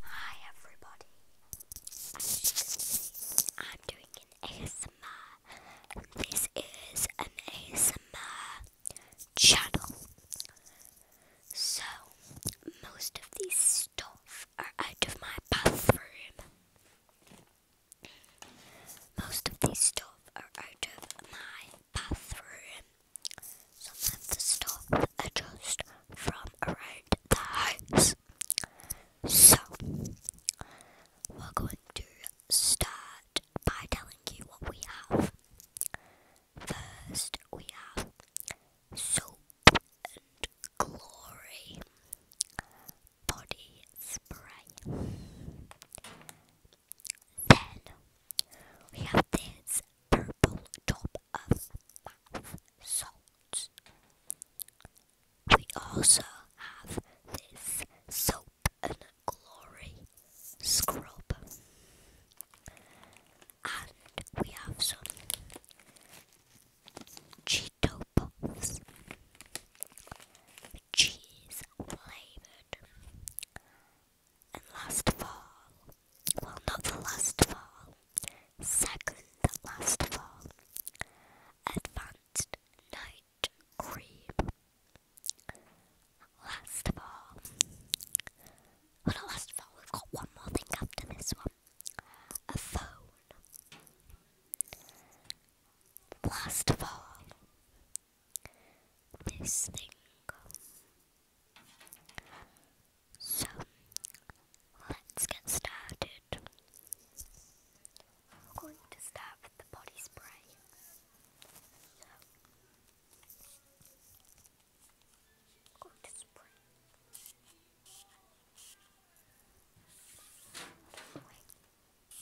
Hi everybody, I'm doing an ASMR. This is an ASMR channel. So, most of these stuff are out of my bathroom. Most of these stuff are out of my bathroom. Sometimes the stops adjust from around the house. So, we're going to start by telling you what we have. First, we have soap and glory body spray. Then we have this this purple top of mouth salts. We also have this soap and glory scrub. And we have some Cheeto Puffs. Cheese flavoured and last fall, well, not the last fall, second last fall, advanced night cream. Last fall, well, not last fall, we've got one more thing after this one a phone. Last fall, this thing. So let's get started. We're going to start with the body spray. So i spray.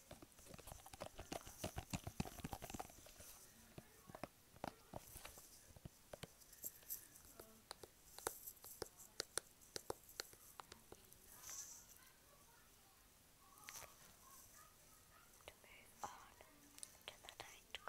To move on to the night cream.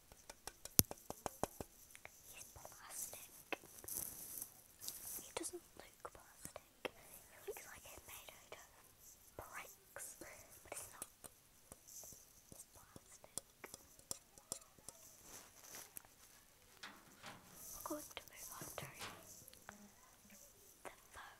He's plastic. He doesn't look plastic. He looks like it's made out of bricks, but it's not. plastic. We're going to move on to the phone.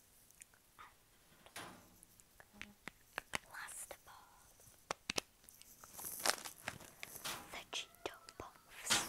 Last of all, the Cheeto Puffs.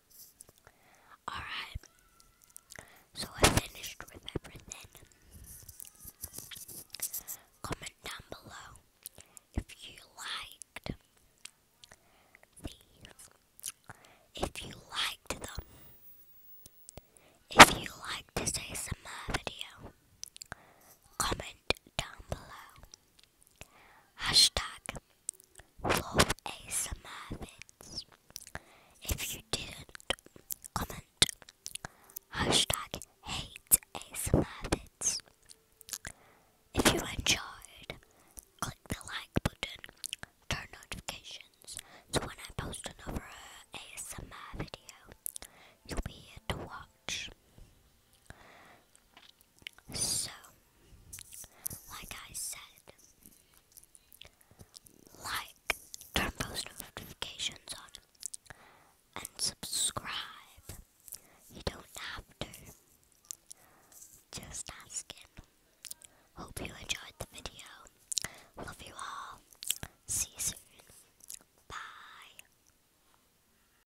Alright, so I finished with everything. Comment down below if you liked these, if you liked them, if you liked this ASMR video, comment down below. Hashtag love ASMR vids. If you didn't, comment hashtag hate ASMR vids. If you enjoyed, click the like button, turn notifications so when I post another ASMR video, you'll be here to watch. So, like I said, like, turn post notifications on, and subscribe. You don't have to. Just asking. Hope you enjoyed the video. Love you all. See you soon. Bye.